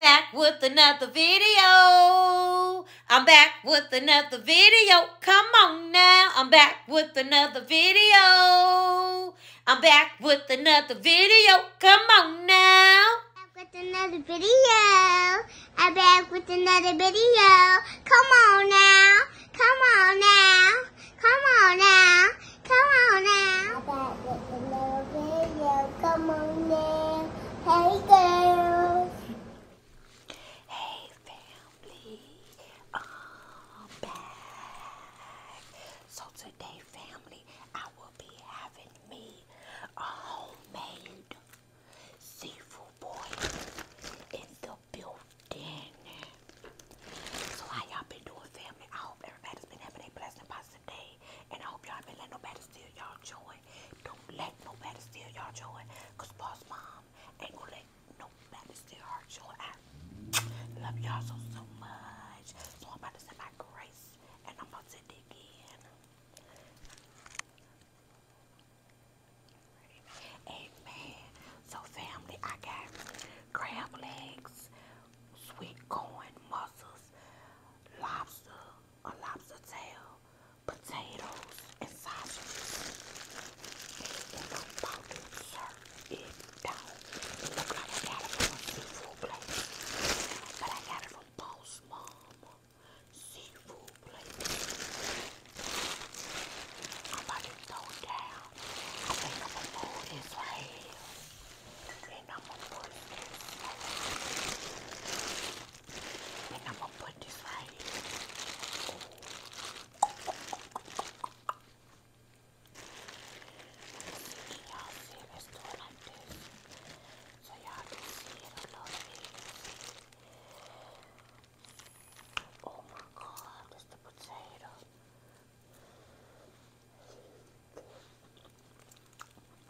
back with another video. I'm back with another video. Come on now. I'm back with another video. I'm back with another video. Come on now. Back with another video. I'm back with another video. Come on now. Come on now. Come on now. Come on now. I'm back with another video. Come on now. Hey, girls. Hey, family. I'm back. So today, family, I will be having me a homemade seafood boil in the building. So how y'all been doing, family? I hope everybody's been having a blessed and I hope y'all been letting nobody steal y'all joy. Don't let nobody steal y'all joy. boss mom ain't gonna let nobody steal her joy. I love y'all so so much. So I'm about to say my grace and I'm about to dig in. Amen. So family, I got crab legs sweet corn, mussels, lobster, a lobster tail, potatoes, and sausages. And I'm about to serve it down. look like I got from seafood place, but I got it from Boss Mama Seafood Place. I'm about to throw it down. I think I'm gonna move this right I'm gonna put this. And I'm gonna put this right here. Can y'all see this door like this? So y'all see it a little bit. Oh my god, that's the potato.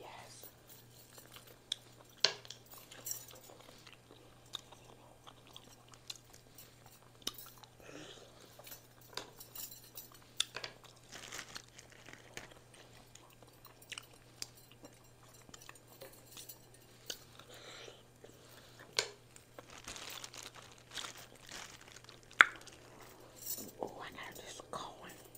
Yes. Oh, I got this going.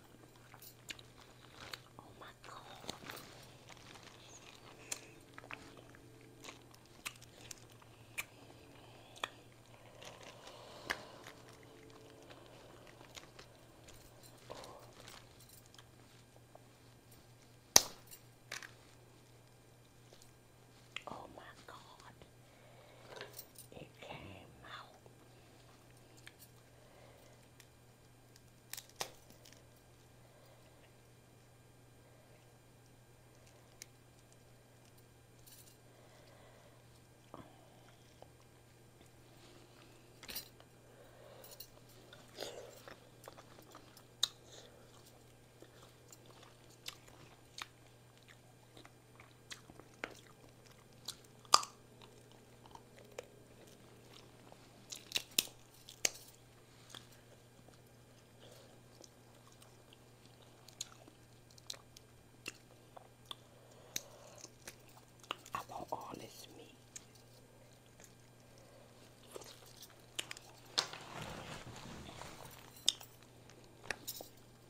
Oh my god. Oh my god. it came out. I want all this meat.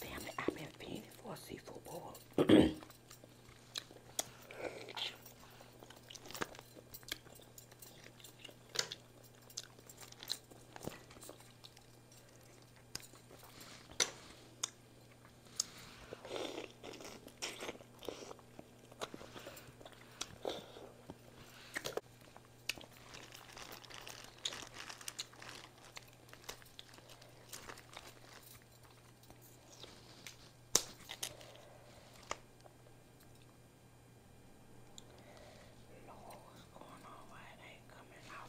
Damn it, I've been feeding for a seafood bowl. Lord, what's going on? Why it ain't coming out?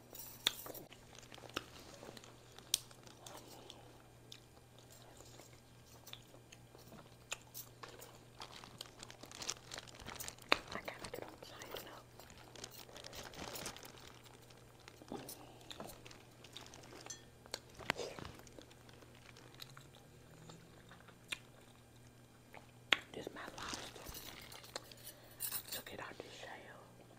I gotta get outside now. This my lobster. took it out the shell.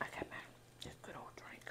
I got my this good old drink.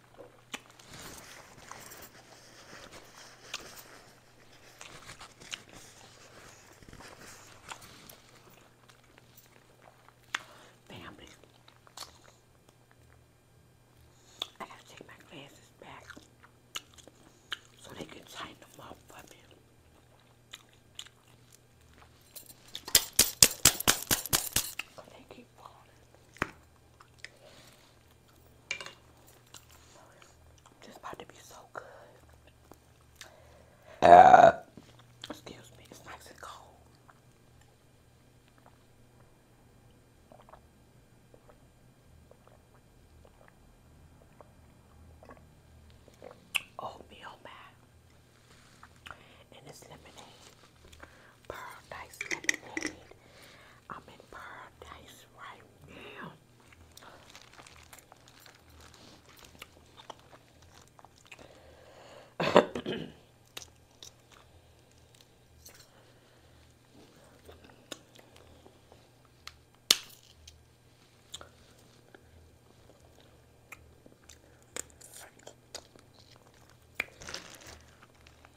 Bambi. I gotta take my glasses back so they can tighten them up for me. They keep falling. Just about to be so good. Uh, Excuse me, it's nice and cold. Oatmeal oh, And this lemonade. Paradise I'm in paradise right now.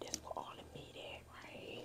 This will all the meat right here.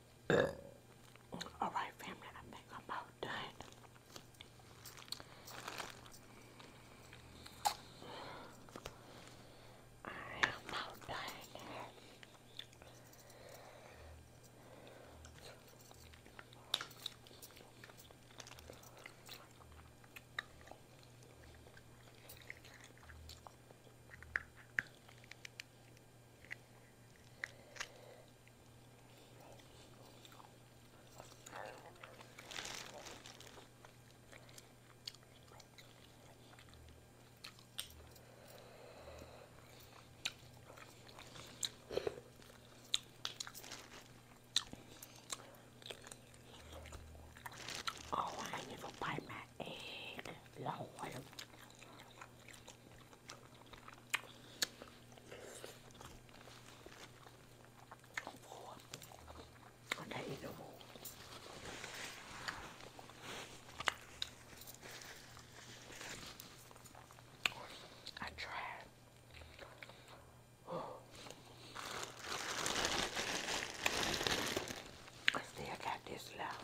All right, family, I think I'm about done. I am about done. Oh, I need a pie, man egg. Lord. And I eat them all. I tried. I still got this left.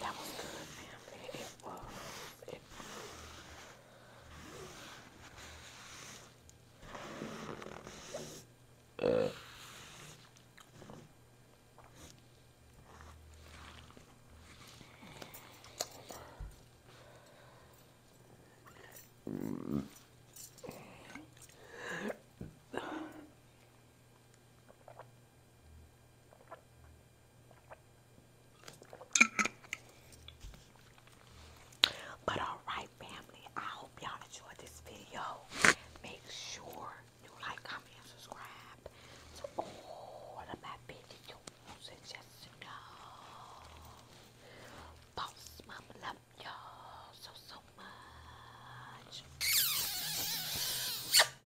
That was good, man. It was. uh. Mm. But alright, family, I hope y'all enjoyed this video. Make sure you like, comment, and subscribe to all of my videos. And just know, boss mama love y'all so, so much.